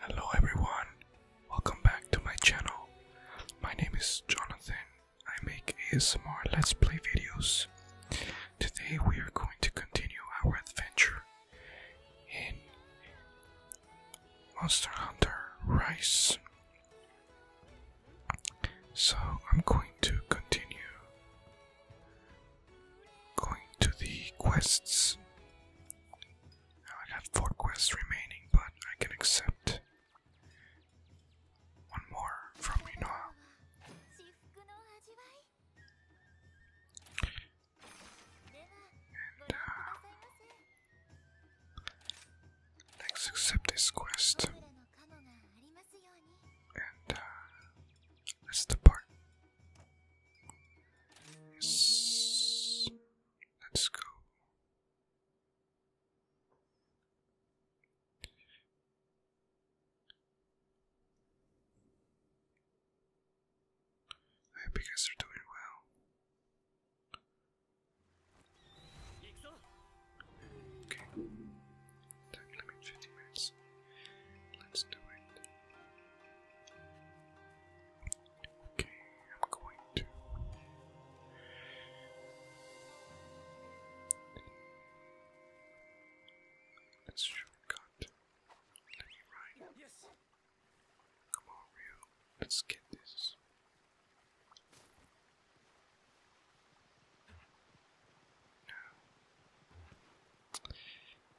Hello everyone, welcome back to my channel. My name is Jonathan. I make ASMR Let's Play videos. Today we are going to continue our adventure in Monster Hunter Rise. So I'm going to continue going to the quests I have four quests remaining, but I can accept one more from Rinoa. let's uh, accept this quest. And let's uh, depart. Let's go. I hope you guys are doing well. Okay. Time limit 50 minutes. Let's do it. Okay, I'm going to. Let's shortcut. Let me ride. Come on, Rio. Let's get this.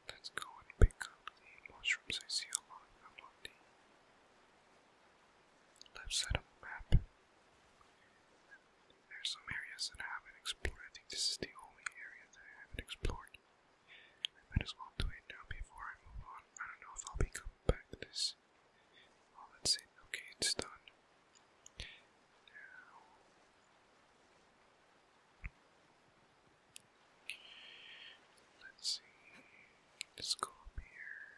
Let's go and pick up the mushrooms I see along, along the left side of the map. There's some areas that I haven't explored. I think this is the only area that I haven't explored. I might as well do it now before I move on. I don't know if I'll be coming back to this. Oh, that's it. Okay, it's done. Now, Let's see. Let's go up here.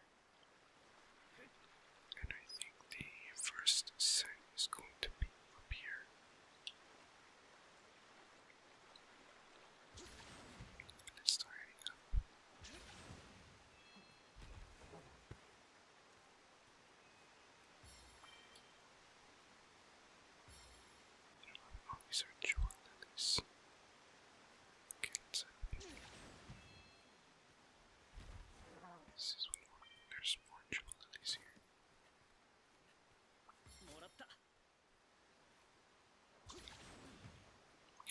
And I think the first set is going to be up here. Let's start heading up. I'm always enjoying this. Cats This is one more. There's more jewel lilies here. I'm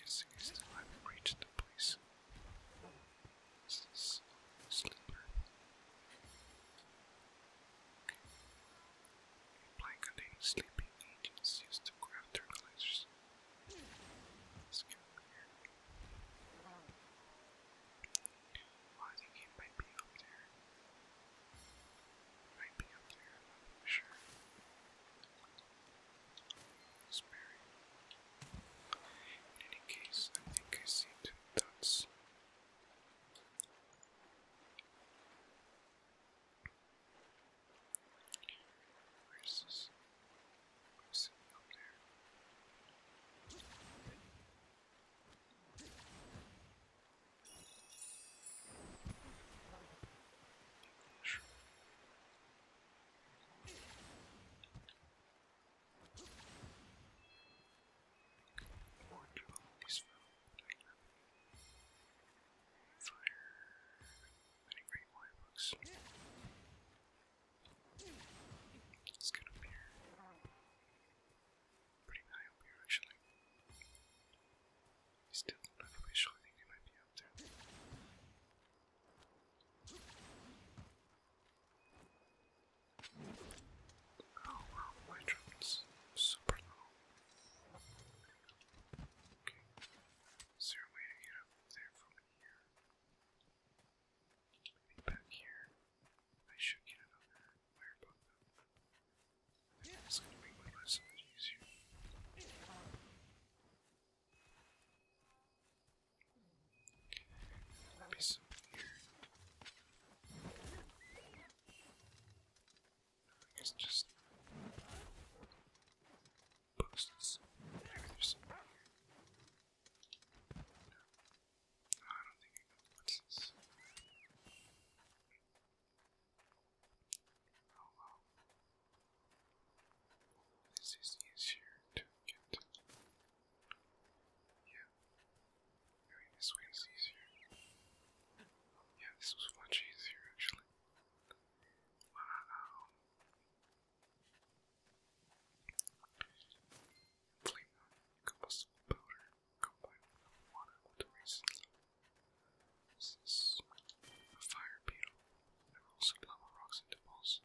guessing I still haven't reached the place. This is sleeper. Okay. Plant containing sleeping agents used to craft fertilizers. let I think it might be up there. might be up there, I'm not sure. It's In any case, I think I see two dots. Where's this? I'm sitting up there. Sure. Or do all these fellows. Fire. Many great Y books. Let's get up here. Pretty high up here, actually. I still don't have a visual, I think they might be up there. Oh wow, my drone's super low. Okay. Is there a way to get up there from here? Maybe back here. I should get another wire bug though. I think it's gonna make my life so much easier. Piece of here. I just boost this. Maybe there's something here. No, I don't think I can. Oh, this is easier to get. Yeah. I mean, this way is easier. Yeah, this was much easier actually. Wow. Inflate combustible powder combined with water with a reason. This is a fire beetle that rolls lava rocks into balls.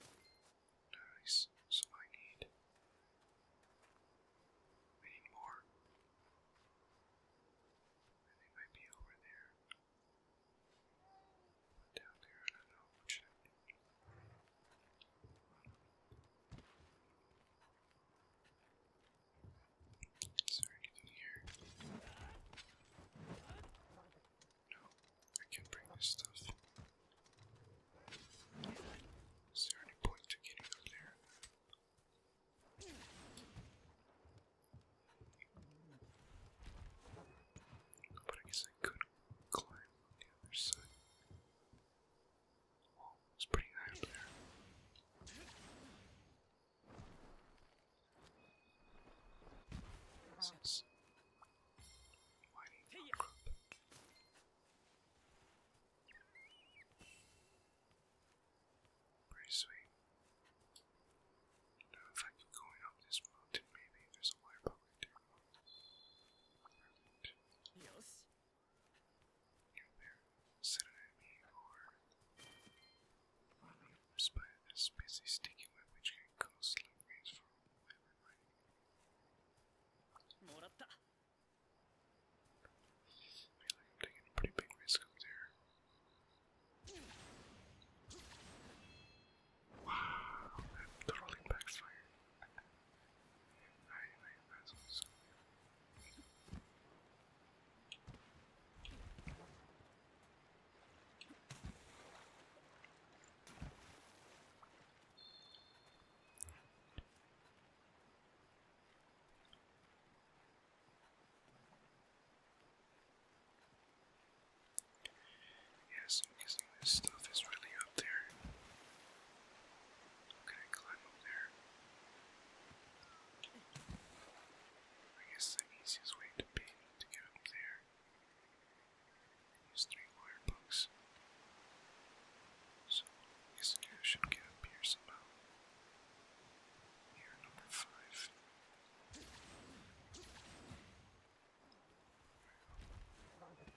Nice. So I need. I need more. they might be over there. down there, I don't know what should I do. Is here? No, I can bring this stuff. Is there any point to getting up there? But I guess I could climb the other side. it's pretty high up there. Since Mining crop. Pretty if I keep going up this mountain, maybe there's a light up right there. Perfect. Yes. Yeah, there. Set an enemy or spider that's busy sticking with which can cause slow I'm taking a pretty big risk over there. Wow, that totally backfired. Yes, I'm guessing this stuff is really up there. How climb up there? I guess the easiest way to get up there these three wire books. So these two should get up here somehow. Here, number five. There we go.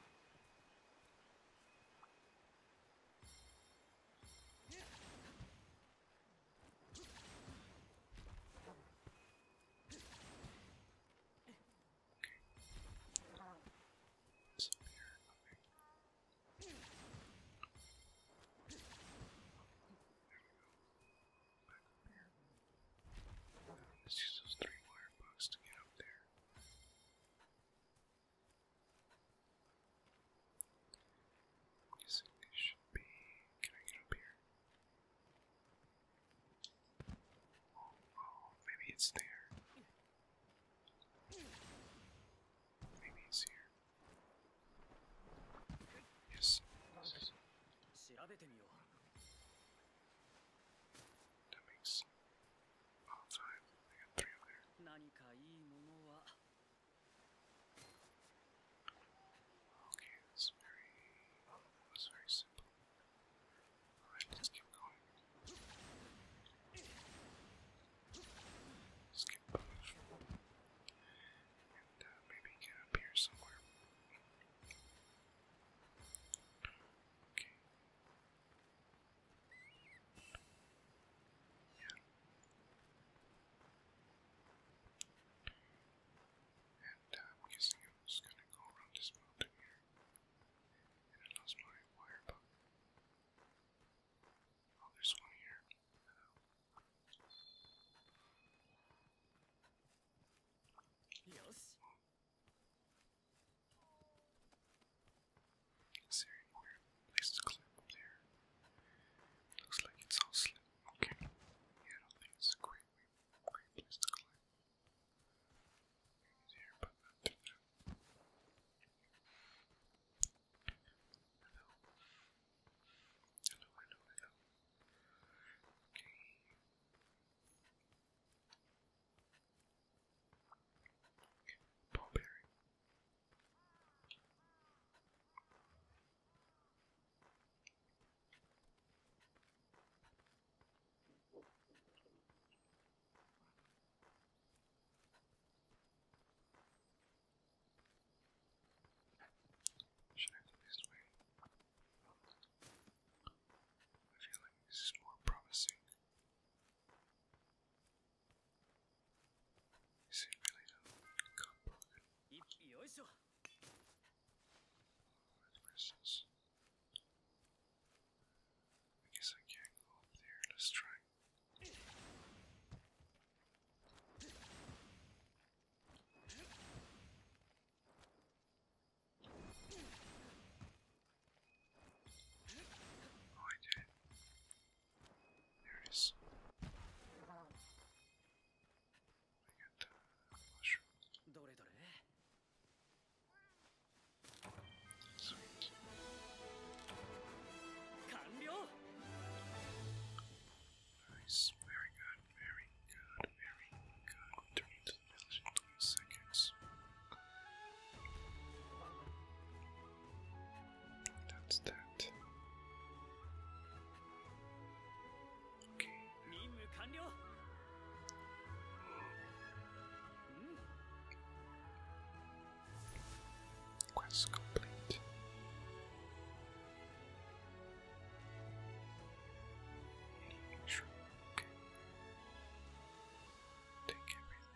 So here, okay. Back up here. Uh, let's use those three wire bugs to get up there. I'm guessing they should be. Can I get up here? Oh, maybe it's there. Maybe it's here. Yes. That makes all time. I got three over there. Okay, it's very, it's very simple. Alright, let's keep going. Let's keep going, And uh, maybe get up here somewhere. Okay. Yeah. And uh, I'm guessing I'm just gonna go around this mountain here. And I lost my wire bug. Oh, there's one here. Yes. Oh. Is place to climb there? Looks like it's all slim. Okay. Yeah, I think it's great, great place to climb. Easier, but not too bad. Hello. Hello, hello, hello. Okay. Ballberry. Should I do this way? I feel like more promising. Is it really not broken? I guess I can't go up there. Let's try. Oh, I did it. I got the mushroom. Nice, very good, very good, very good. 20 seconds. That's that. Okay. Quest complete. Sure. Okay. Take everything.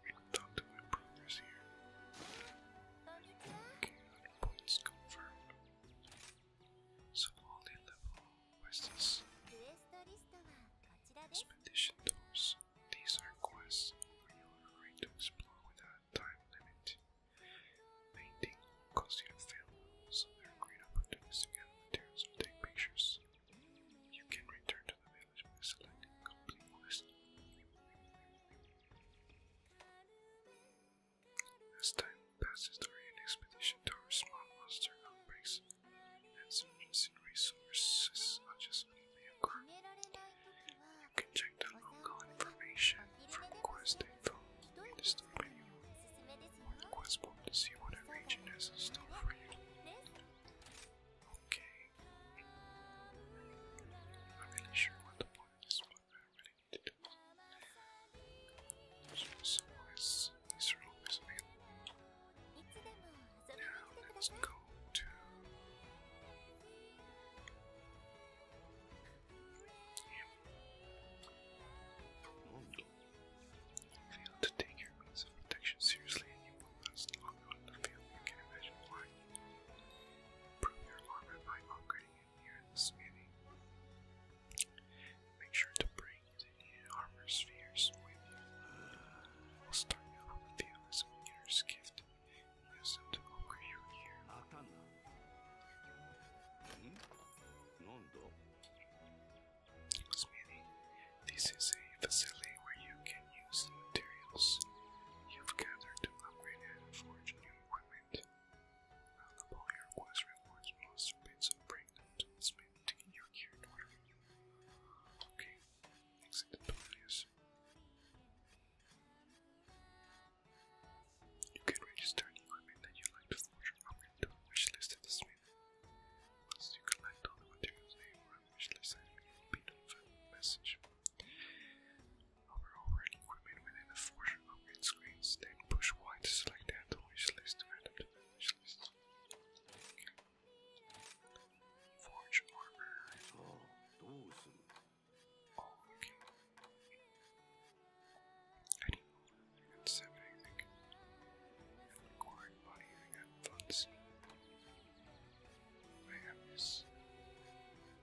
We talked to my brothers here. Okay, points confirmed. So only level was Expedition doors. These are quests where you to explore without time limit. Painting will cause you to fail, so there are great opportunities to get materials or take pictures. You can return to the village by selecting complete quest. As time passes, the Rayan expedition towards small monster outbreaks and some surface resources just unjustly occur. You can check the local information from Quest Info the store or Quest book to see what a region has in store for you. I'm not really sure what the point of this one I really need to do. These are always available. Now let's go to yeah. Fail to take your means of protection seriously and you will last longer on the field. You can imagine why. Improve your armor by upgrading it here Make sure to bring the armor spheres with you. We'll start you off with the Alyssum Gift. Use them to upgrade your gear. Smithy, this is a facility where you can can use materials you've gathered to upgrade and forge new equipment. your quest rewards, monster bits, and bring smith to your gear in order. Okay, exit the Peleus. You can register equipment that you like to forge or to a wish the smith. Once you collect all the materials you wish list item, be notified with a Hover over equipment within the fortune upgrade screens, then push Y to select add to list to add the wish list. Forge armor. Oh, okay. I didn't know that. I got seven, I think. And I got funds. I have this.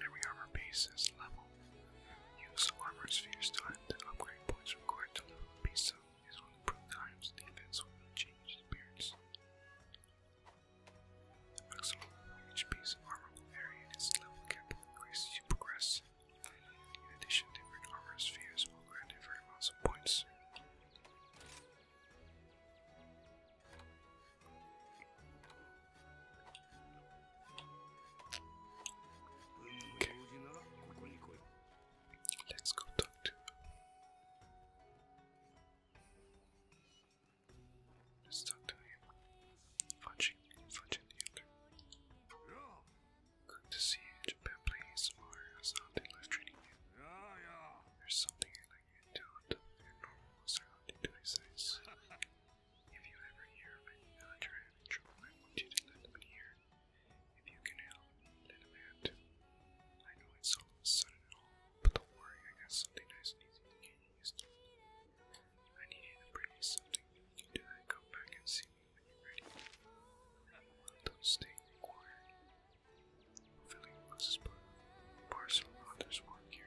Every armor piece is level. Use armor spheres to add upgrade points required to level a piece up. Is one improved items defense will change appearance. The maximum each piece of armor will vary in its level cap will increase as you progress. In addition, different armor spheres will grant different amounts of points. Okay. Let's go talk to Let's talk to him. Fudging, fudging the other. Good to see Japan please. Mario has not been There's something like you do. Your normal was around into his eyes. If you ever hear of any villager having trouble, I want you to let them hear. If you can help, let them in. I know it's all of a sudden but don't worry, I got something nice and easy to get used to. I need you to bring me something. you can do that, come back and see me when you're ready. I'm one of those things required. Filling Moses' parcel, here.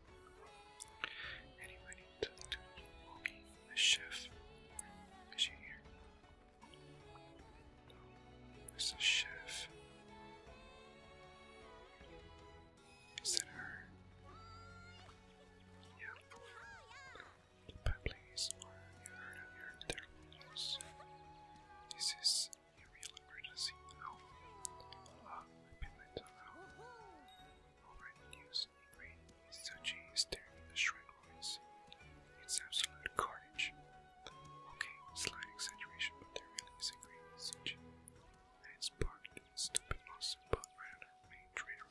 Anybody to the chef? Is she here? the chef. Is that her? Yeah. Pepleys or you heard of your therapies. This is a real emergency. Oh, uh, I put my tongue All right, news constantly raining with Suji staring at It's absolute carnage. Okay, slight exaggeration, but there really is a great stupid monster spot right main trade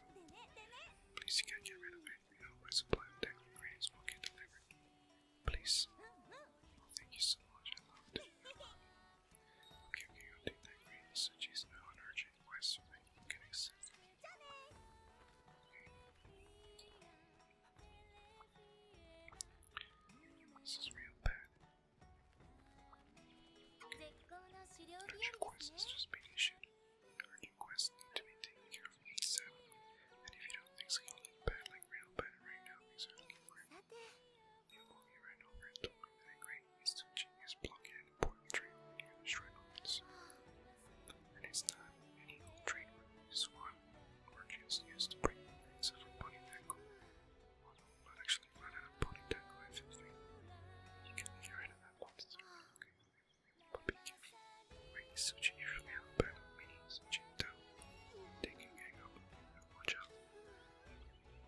Please, you can't get rid of it. We know my supply of deck ingredients will get delivered. Please. thank you so much, I loved it. Okay, okay, I'll take that green Suji's now on watching my swimming and getting sick. is real bad. Dungeon Quest is just being issued. Urgent quests need to be And if you don't think so, bad, like real bad right now. These are looking great. You'll be right over and talking to the thing is to genius plug-in poetry used records. And it's not any old treatment, it's one merchants used to bring things of a bunny deckle. Well, not actually right out of bunny deckle, you can get rid of that once okay. But be careful. Wait, Suchi usually have and Jin Tao. They can gang up watch out.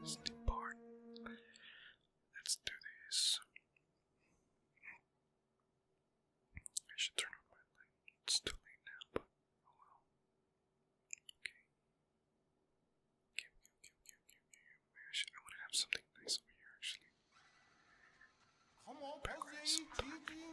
Let's depart. Let's do this. I should turn on my light. It's too late now, but oh Okay. Okay, okay, okay, okay, okay. Maybe I, should, I want to have something nice over here, actually. Background,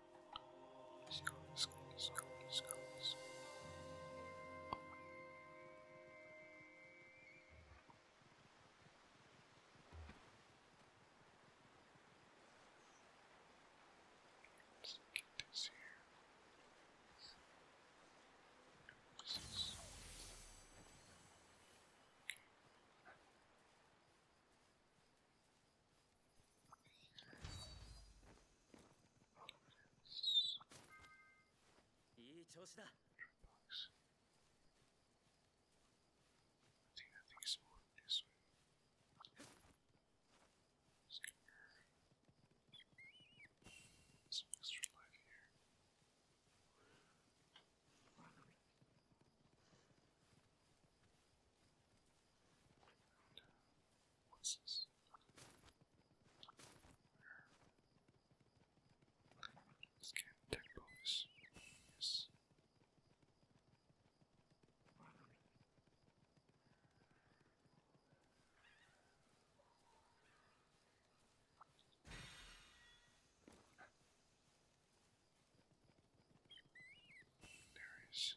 Let's go, let's go, let's go, let's go, let's go. Let's get this here. What's this? Okay. いい調子だ。I think I think it's more this way. Let's get some extra life here. And, uh, what's this? Where? Let's get tech bonus. Yes. There is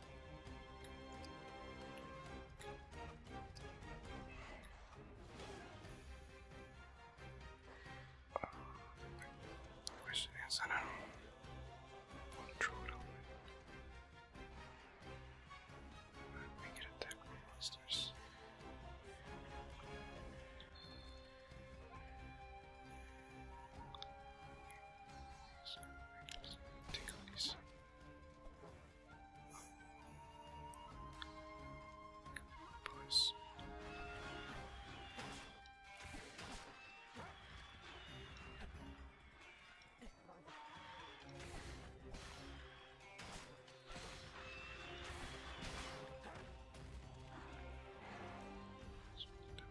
The question is, I don't attack more monsters. Take all these. Boys. Let's put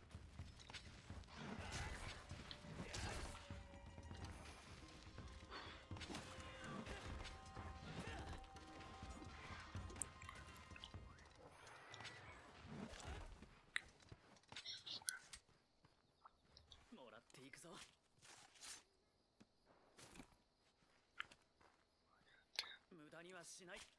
も無駄にはしない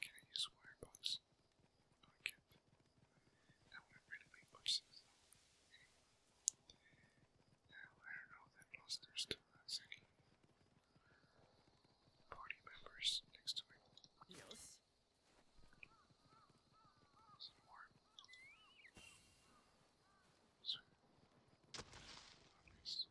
Can I use wire box? No, I can't. That would really make much Now, I don't know that monster's party members next to me. Yes. Some more. Sweet. Obvious.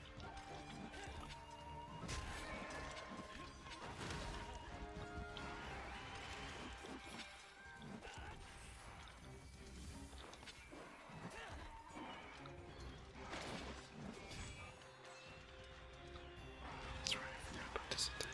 That's right, I forgot about this attack.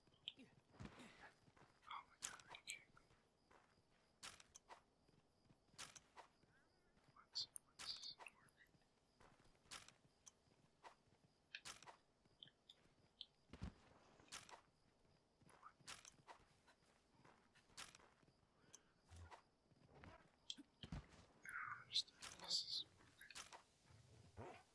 Oh my god, I can't go. What's, what's working? What? I don't understand. This is working.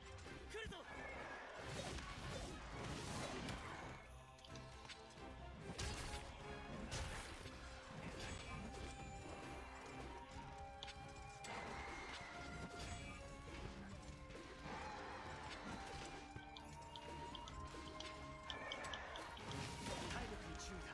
来るぞ体力に注意だ。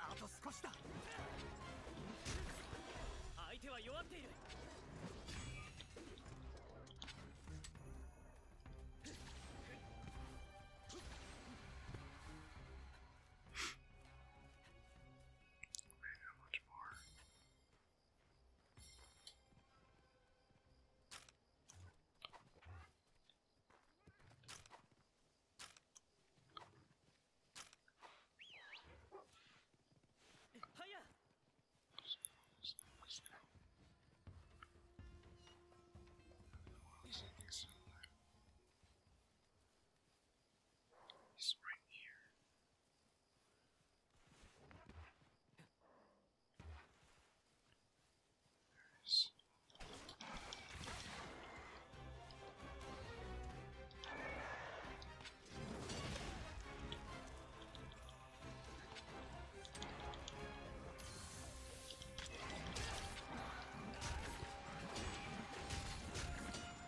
あと少しだ相手は弱っている Maybe how much more? Hiya. I don't know what else I can sell there. He's right here. There he is. There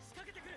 仕掛けてくる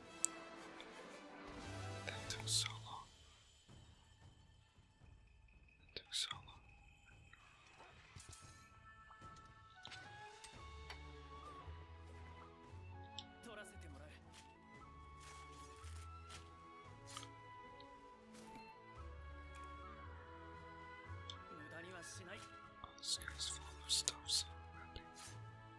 That took so long. That took so long. Oh, this guy's full of stuff, so happy.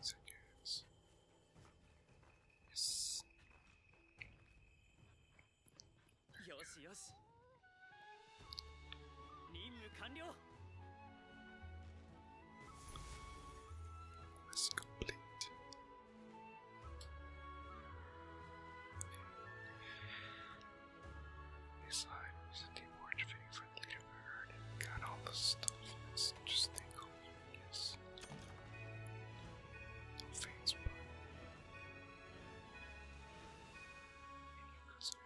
So goes. Yes. Yoshi, yoshi. Almost complete. These lines, the more friendly you heard and got all the stuff. It's just the yes. No fans, but. 15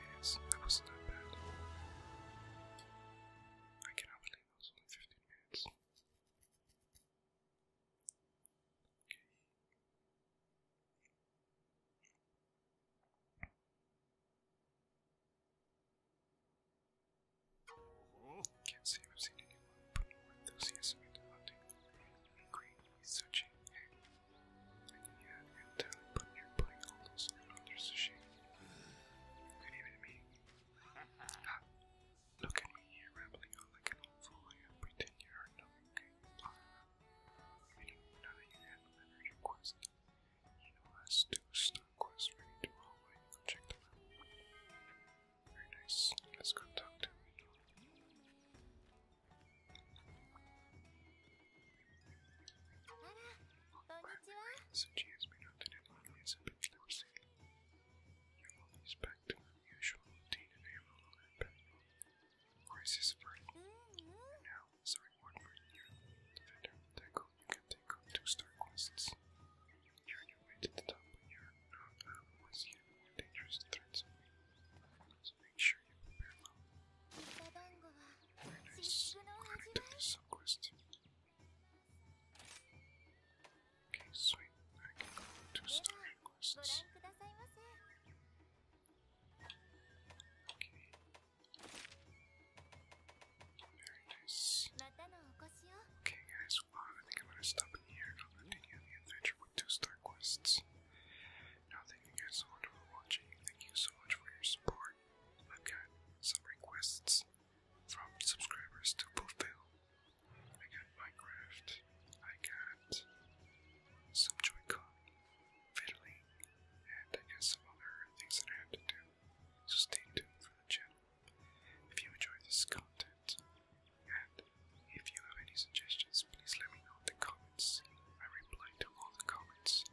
minutes, that was not bad. I cannot believe that was only 15 minutes. Okay. Can't see say I've seen anyone put more enthusiasm into hunting and great researching. Hey, I you had real but you're putting all those others to shame. Good even me. look at me here, rambling on like an old fool. I pretend you heard nothing. I mean, now you have energy quest, you know us do a stone ready to roll check them out. Very nice. Let's go talk to him. Since she has been out in Italy, it's a bit forcing. Your mom mm-hmm. is back to her usual routine a roll on her back. now Sorry, one green here. Defender, tackle, you can take on two star quests. You're on your the top, but you once you have more dangerous threats. make sure you prepare well. Very nice. Quick to Okay, sweet. I can go to two quests. Okay, guys, well, I think I'm gonna stop it here and I'll continue the adventure with two star quests. Now, thank you guys so much for watching. Thank you so much for your support. I've got some requests from subscribers to fulfill. I got Minecraft. I got some joy fiddling, and I guess some other things that I have to do. So stay tuned for the channel. If you enjoy this content, and if you have any suggestions, please let me know in the comments. I reply to all the comments.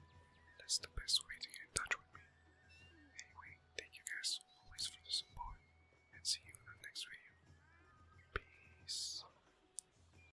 That's the best way to get in touch with me. Anyway, thank you guys always for the support, and see you in the next video. Peace.